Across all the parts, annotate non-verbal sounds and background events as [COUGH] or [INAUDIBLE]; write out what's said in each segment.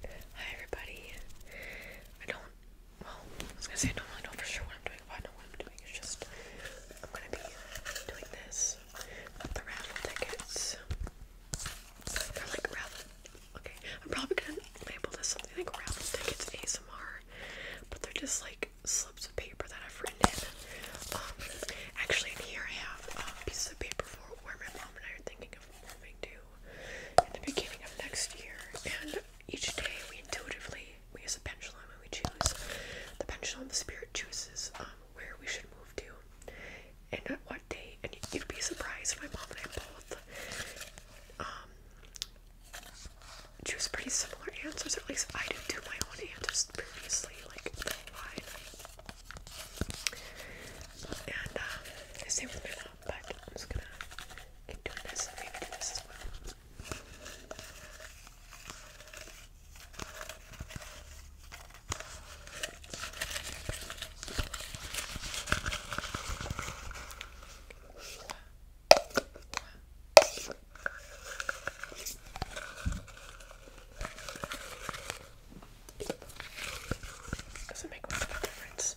Hi everybody. I don't well, I was gonna say I don't really know for sure what I'm doing, but I know what I'm doing. It's just I'm gonna be doing this with the raffle tickets. They're like raffle okay. I'm probably gonna label this something like raffle tickets ASMR. But they're just like slips of paper that I've written in. Um, actually in here I have a piece of paper for where my mom and I are thinking planning to in the beginning of next year. And each day we intuitively we use a pendulum and we choose the pendulum the spirit chooses um, where we should move to and at what day. And you'd be surprised my mom and I both um choose pretty similar answers, at least I did do my own answers previously, like the line. And um, I stay with my mom I'm just gonna keep doing this and maybe do this as well. Doesn't make much of a difference.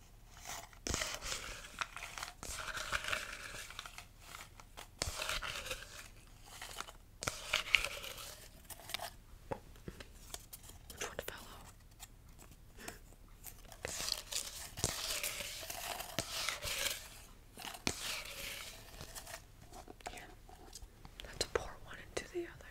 Which one fell off? Here, let's pour one into the other.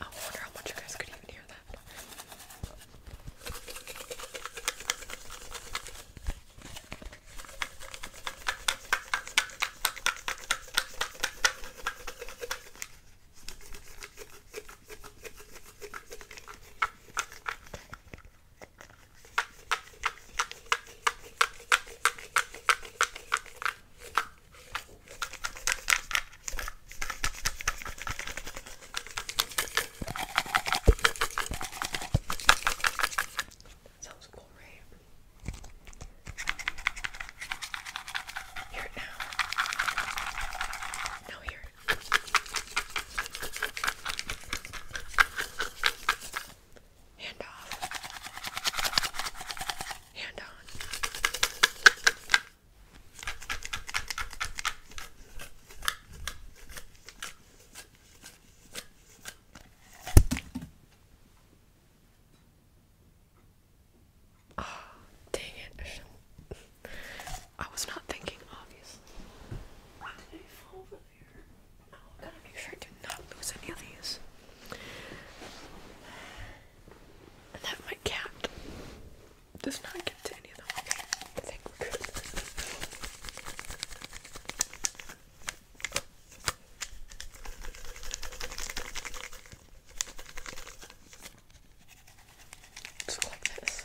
I wonder how much you guys could even hear that. Sounds cool, right? Hear it now. Now hear it. Hand off. Hand on. Oh, dang it. [LAUGHS] I was not thinking, obviously there. Now I gotta make sure I do not lose any of these. that my cat does not get to any of them. I think we're good. let like this.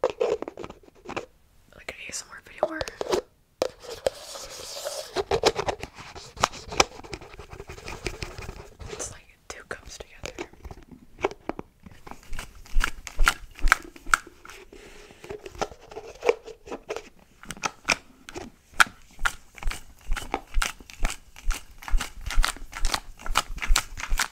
Like an ASMR video more. It's like two cups together.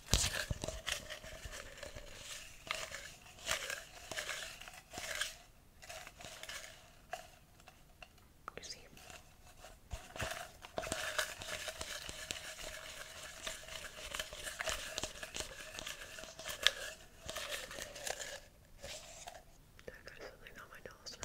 You see? I got something on my nose.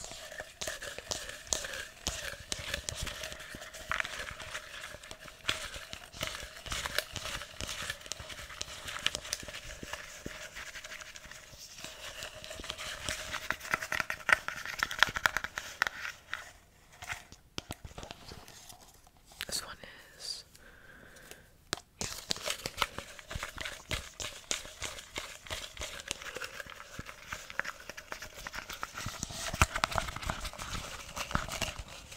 This one is yeah.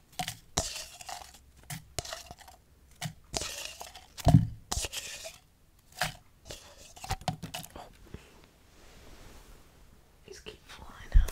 Oh. These keep flying out.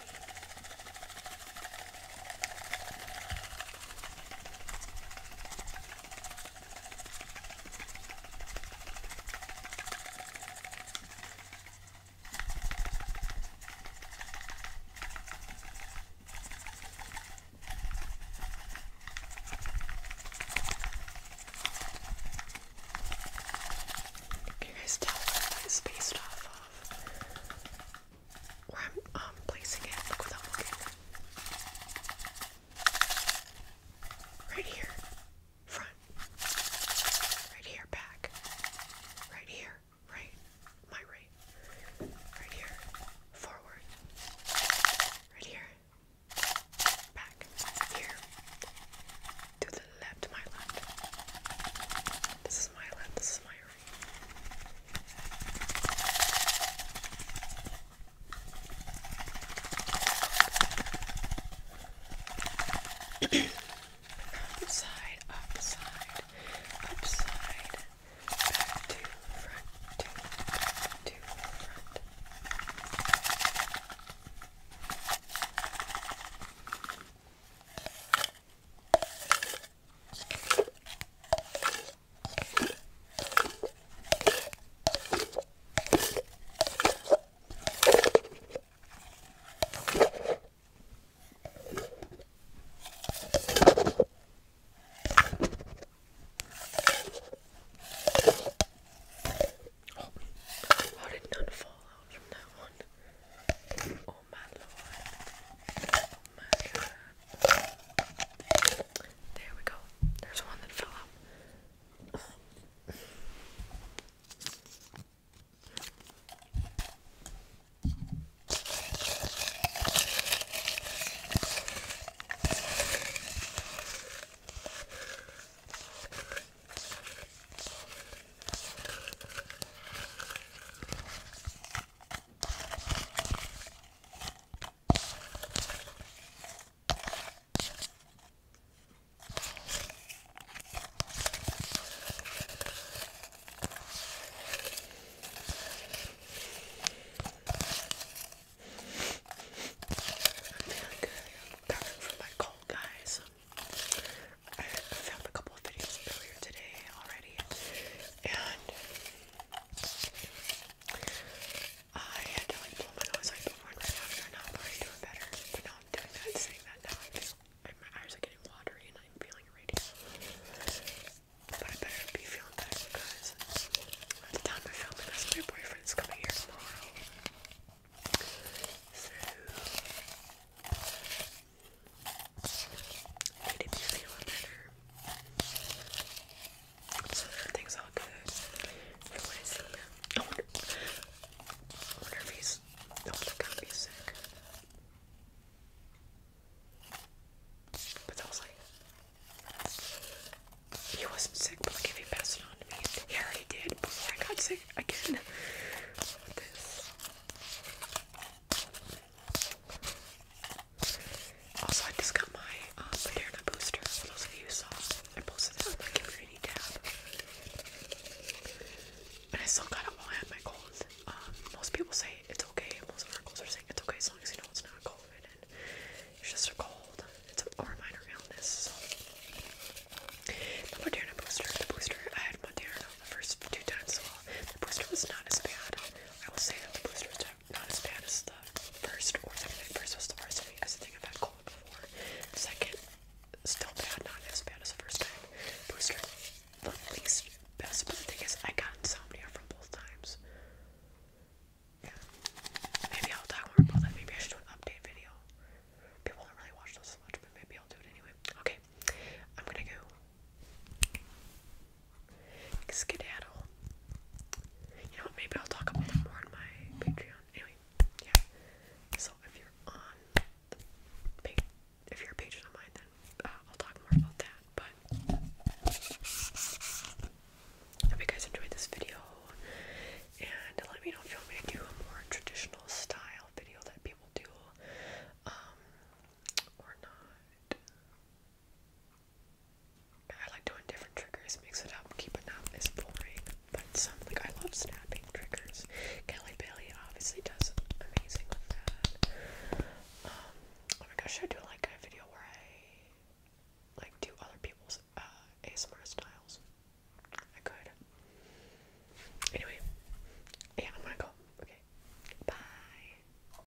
Can you guys tell what it's based off of? where oh, I'm placing it. Look without looking. Right here, front. Right here, back. Right here, right. My right. Right here, forward. Right here, back. Here, to the left, my left. This is my left, this is my here. upside, upside, upside, back to front, to back to front. How did none fall out from that one? Oh my lord. Oh my god. There we go. There's one that fell out good. i coming from my cold, guys. I filmed a couple of videos earlier today already, and I had to like my nose like one right after, and I'm already doing better. But now I'm doing that, saying that now I feel like my eyes are getting watery and I'm feeling radiant. But I better be feeling better because by the time I film this, my boyfriend's coming here tomorrow. So it made me feel better. So everything's all good. I wonder, I wonder if he's. I wonder if going sick. But that was like. He wasn't sick, but like if he passed it on to me. Yeah, he did before I got sick again. [LAUGHS] this. Also, I just got my Moderna um, booster. For those of you saw, I posted it on my community tab. But I still got it while I had my cold. Um, most people say it's okay. Most articles are saying it's okay as long as you know it's not COVID and it's just a cold. It's a, or a minor illness. So. The Moderna booster. The booster. I had Moderna the first two times as The booster was not as bad. I will say that the booster is not as bad as the first or second. first was the worst thing I think I've had cold before. Second, still bad, not as bad as the first time. Booster, the least best. thing is, I got insomnia from both times. Yeah. Maybe I'll talk more about that. Maybe I should do an update video. People don't really watch those much, but maybe I'll do it anyway. Okay, I'm gonna go. Skedaddle. You know Maybe I'll talk about them more in my Patreon. Anyway, yeah. So if you're on the if you're a patron of mine, then uh, I'll talk more about that. But hope you guys enjoyed this video, and let me know if you want me to do a more traditional style video that people do, um, or not. I like doing different triggers, mix it up, keep it up, it's boring. But some, like, I love snapping triggers. Kelly Bailey obviously does amazing with that. Um, oh my gosh, should I do like a video where I like do other people's uh, ASMR styles? I could. Anyway, yeah, I'm gonna go. Okay, bye.